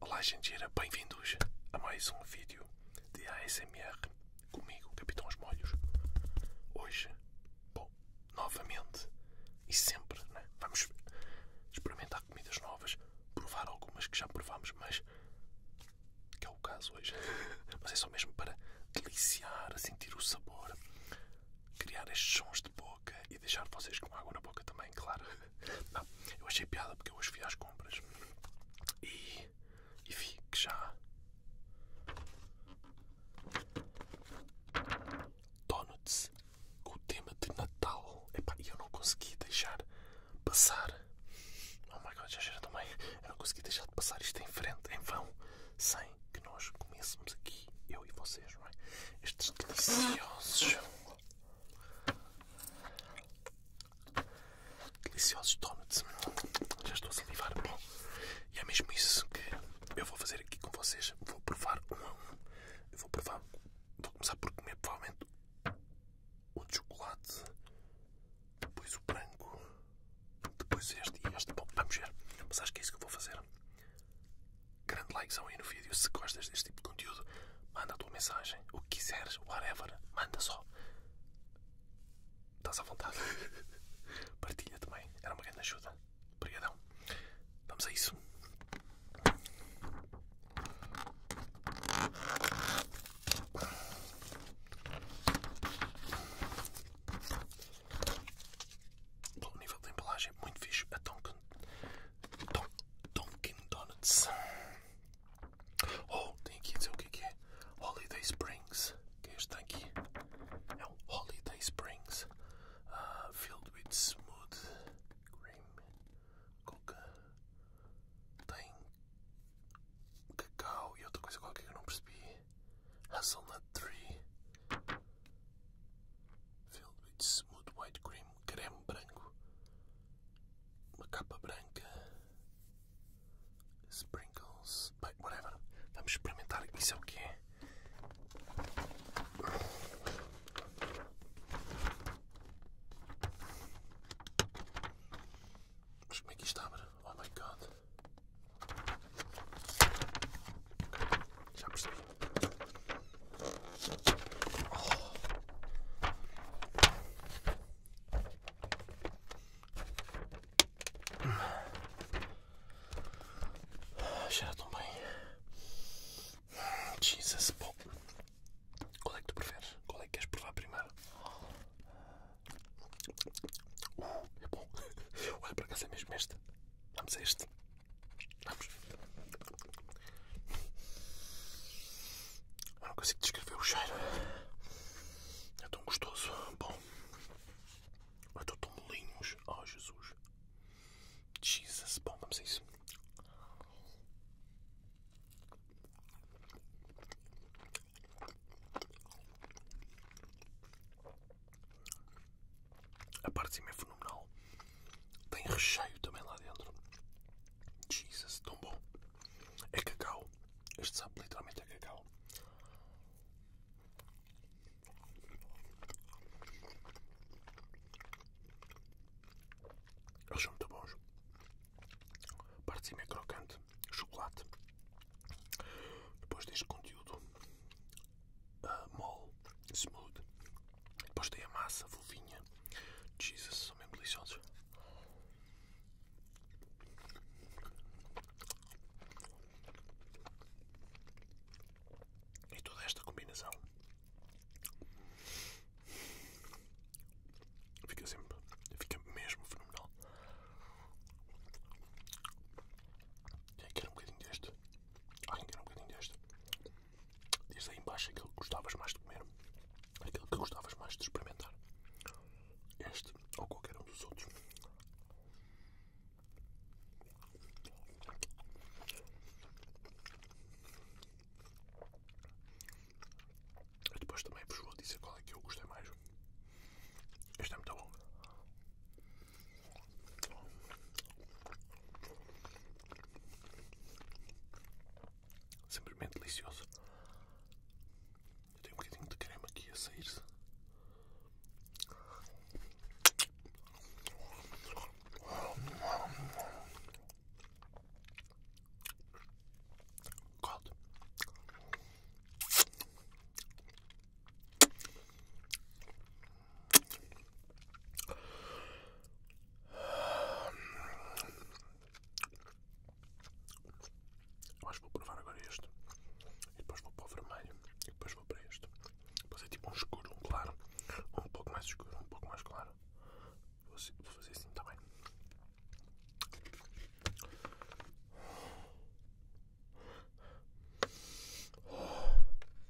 Olá gente genteira, bem-vindos a mais um vídeo de ASMR comigo, Capitão Os Molhos. Hoje, bom, novamente e sempre, né? vamos experimentar comidas novas, provar algumas que já provámos, mas que é o caso hoje. Mas é só mesmo para deliciar, sentir o sabor, criar estes sons de boca e deixar vocês com água na boca também, claro. Não, eu achei piada porque eu hoje fui às compras e, vi que já Donuts com o tema de Natal. e eu não consegui deixar passar. Oh my god, já cheira também. Eu não consegui deixar de passar isto em frente, em vão, sem que nós comêssemos aqui, eu e vocês, não é? Estes deliciosos Deliciosos donuts. Já estou a salivar. e é mesmo isso que eu vou fazer aqui com vocês. Vou provar um a um. vou provar. Vou começar por comer provavelmente o chocolate, depois o branco, depois este e este. Bom, vamos ver. Mas acho que é isso que eu vou fazer. Grande likezão aí no vídeo se gostas deste tipo de conteúdo. Manda a tua mensagem, o que quiseres, whatever, manda só. Estás à vontade. Partilha também, era uma grande ajuda. Obrigadão. Vamos a isso. Bom, o nível de embalagem é muito fixe, é tão que Don, Dunkin Donuts. Oh, tem aqui dizer o é que é. Holiday Springs. Que é este está aqui. É um Holiday Springs. Ah, filled with smooth cream. Coca. Tem cacau e outra coisa qualquer que eu não percebi. Hazelnut tree. Filled with smooth white cream. Creme branco uma capa branca, sprinkles, whatever. Vamos experimentar. Isso é o que é. Mas como é que isto abre? Oh my god. Já percebi. Cheira tão bem. Jesus, bom. Qual é que tu preferes? Qual é que queres provar primeiro? Uh, é bom. Olha, para cá é mesmo este. Vamos a este. Vamos. Eu não consigo descrever o cheiro. É tão gostoso. Bom. Eu estou tão molinhos. Oh, Jesus. Jesus. Bom, vamos a isso. A parte de cima é fenomenal. Tem recheio também lá dentro. Jesus, tão bom. É cacau. Este sabe literalmente é cacau. Eles são muito bons. Parte de cima é crocante, chocolate. Depois deste conteúdo uh, mole, smooth. Depois tem a massa fofinha. Jesus, são mesmo deliciosos. E toda esta combinação fica sempre, fica mesmo fenomenal. Quem quer um bocadinho deste? Alguém quer um bocadinho deste? Diz aí embaixo aquilo que gostavas mais de comer, aquele que gostavas mais de experimentar. Este ou qualquer um dos outros. depois também vos vou dizer qual é que eu gostei mais. Este é muito bom. Sempre Simplesmente delicioso. Eu tenho um bocadinho de creme aqui a sair-se. God. Eu acho que vou provar agora este. E depois vou para o vermelho. E depois vou para este. Depois é tipo um escuro, um claro. Um pouco mais escuro, um pouco mais claro. Vou assim, fazer assim também.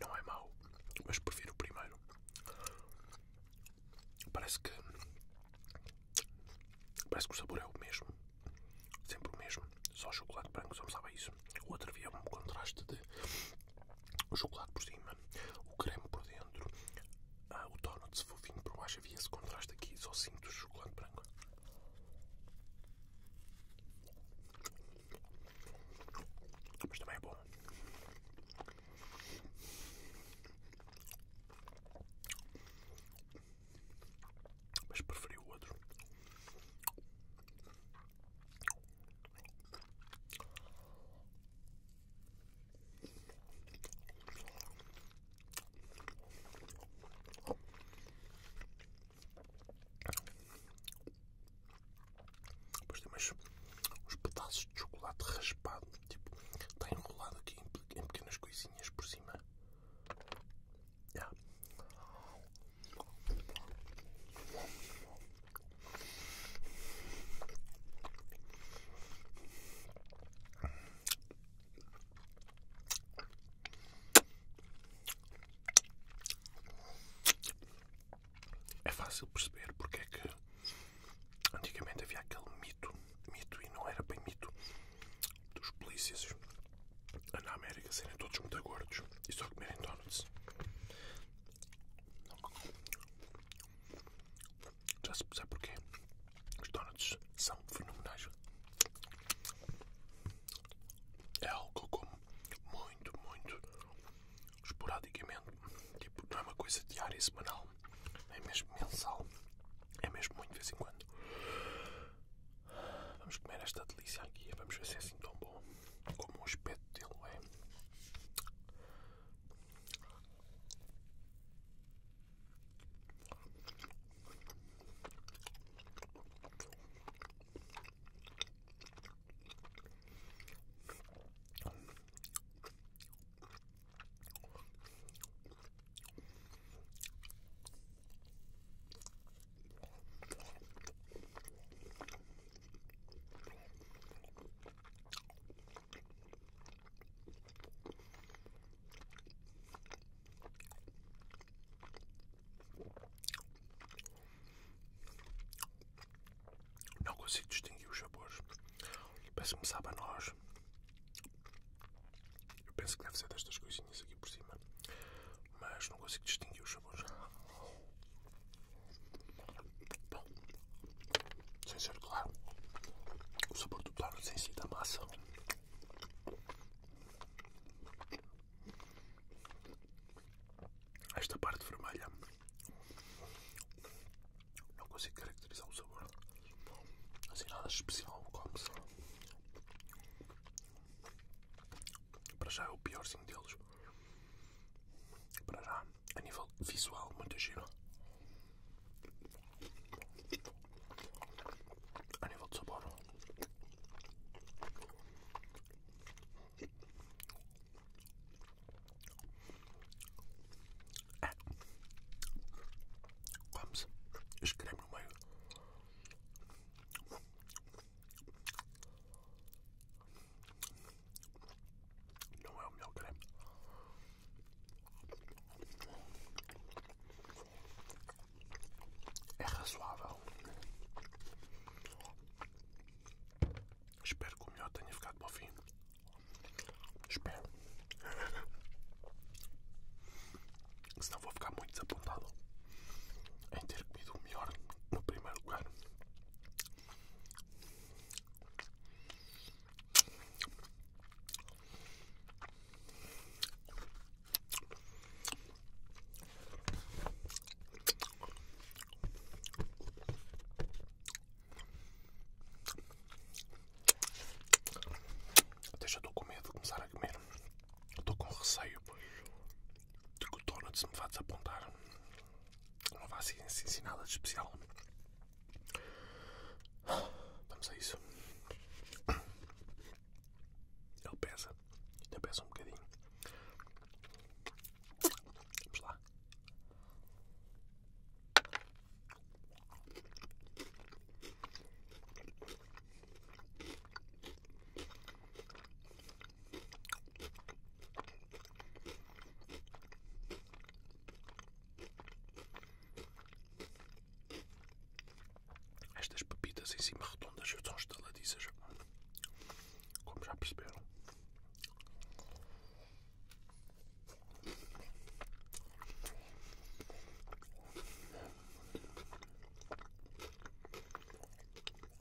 Não é mau, mas prefiro o primeiro. Parece que. Parece que o sabor é o mesmo. Sempre o mesmo. Só chocolate branco, só me sabe isso isso. O outro havia um contraste de chocolate por cima, o creme por dentro, ah, o tono de fofinho por baixo. Havia esse contraste aqui, só cinto o chocolate branco. Mas também é bom. Mas preferi o outro. Depois tem mais uns pedaços de chocolate raspado, tipo, está enrolado aqui em pequenas coisinhas por cima. É fácil perceber porque é que antigamente havia aquele mito, mito e não era bem mito, dos polícias na América serem todos muito gordos e só comerem donuts. Já se sabe porquê? Os donuts são fenomenais. É algo que eu como muito, muito esporadicamente. Tipo, não é uma coisa diária e semanal. É mesmo mensal. É mesmo muito de vez em quando. Vamos comer esta delícia aqui. Vamos ver se é assim tão bom como o espeto dele é. Não consigo distinguir os sabores. Parece-me sabe a nós. Eu penso que deve ser destas coisinhas aqui por cima mas não consigo distinguir os sabores. Bom, sem ser claro, o sabor do claro sem si da massa. Esta parte vermelha não consigo caracterizar o sabor. Assim nada especial como se para já é o piorzinho deles. Para já, a nível visual, muito giro. A nível de sabor, é. Vamos, este creme no meio. Não é o meu creme. É razoável. Espero que o meu tenha ficado para o fim. Espero. Senão vou ficar muito desapontado em ter comido o melhor no primeiro lugar. Até já estou com medo de começar a comer estou com receio de que o Donuts me vá desapontar. Não vá assim, assim nada de especial. Vamos a isso. Ele pesa. Ainda pesa um bocadinho. Vamos lá. Estas pepitas em cima redondas são estaladiças, como já perceberam.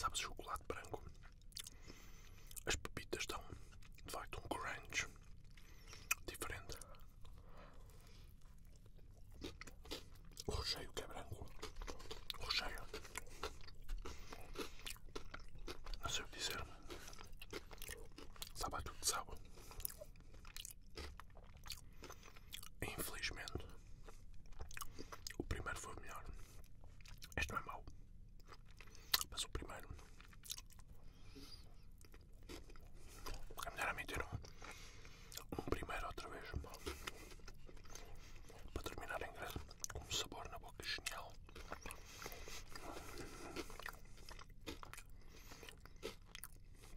Sabes, chocolate branco. As pepitas estão de facto um crunch diferente. O recheio que é branco. O recheio. Não sei o que dizer. Sabe a tudo, sabe? Infelizmente, o primeiro foi melhor. Este não é mau, mas o primeiro é melhor a meter um, um primeiro outra vez para terminar em grande com um sabor na boca genial.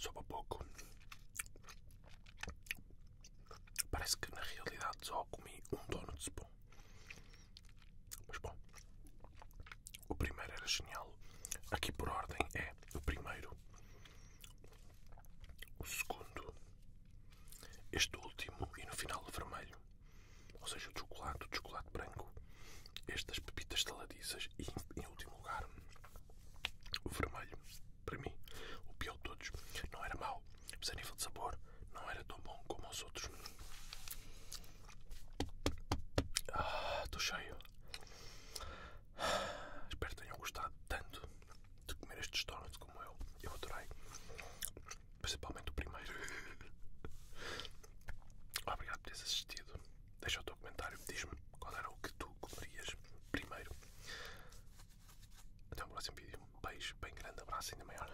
Sobe um pouco. Parece que na realidade só comi um dono de spam. Mas bom, o primeiro era genial. Aqui por ordem é o primeiro, o segundo, este último e no final o vermelho. Ou seja, o chocolate, o chocolate branco, estas pepitas estaladiças e, em último lugar, o vermelho. Para mim, o pior de todos. Não era mau, mas a nível de sabor não era tão bom como os outros. Ah, estou cheio. Espero que tenham gostado tanto de comer estes donuts como eu. Eu adorei. Principalmente o primeiro. Obrigado por teres assistido. Deixa o teu comentário. Diz-me qual era o que tu comerias primeiro. Até o próximo vídeo. Um beijo bem grande, abraço ainda maior.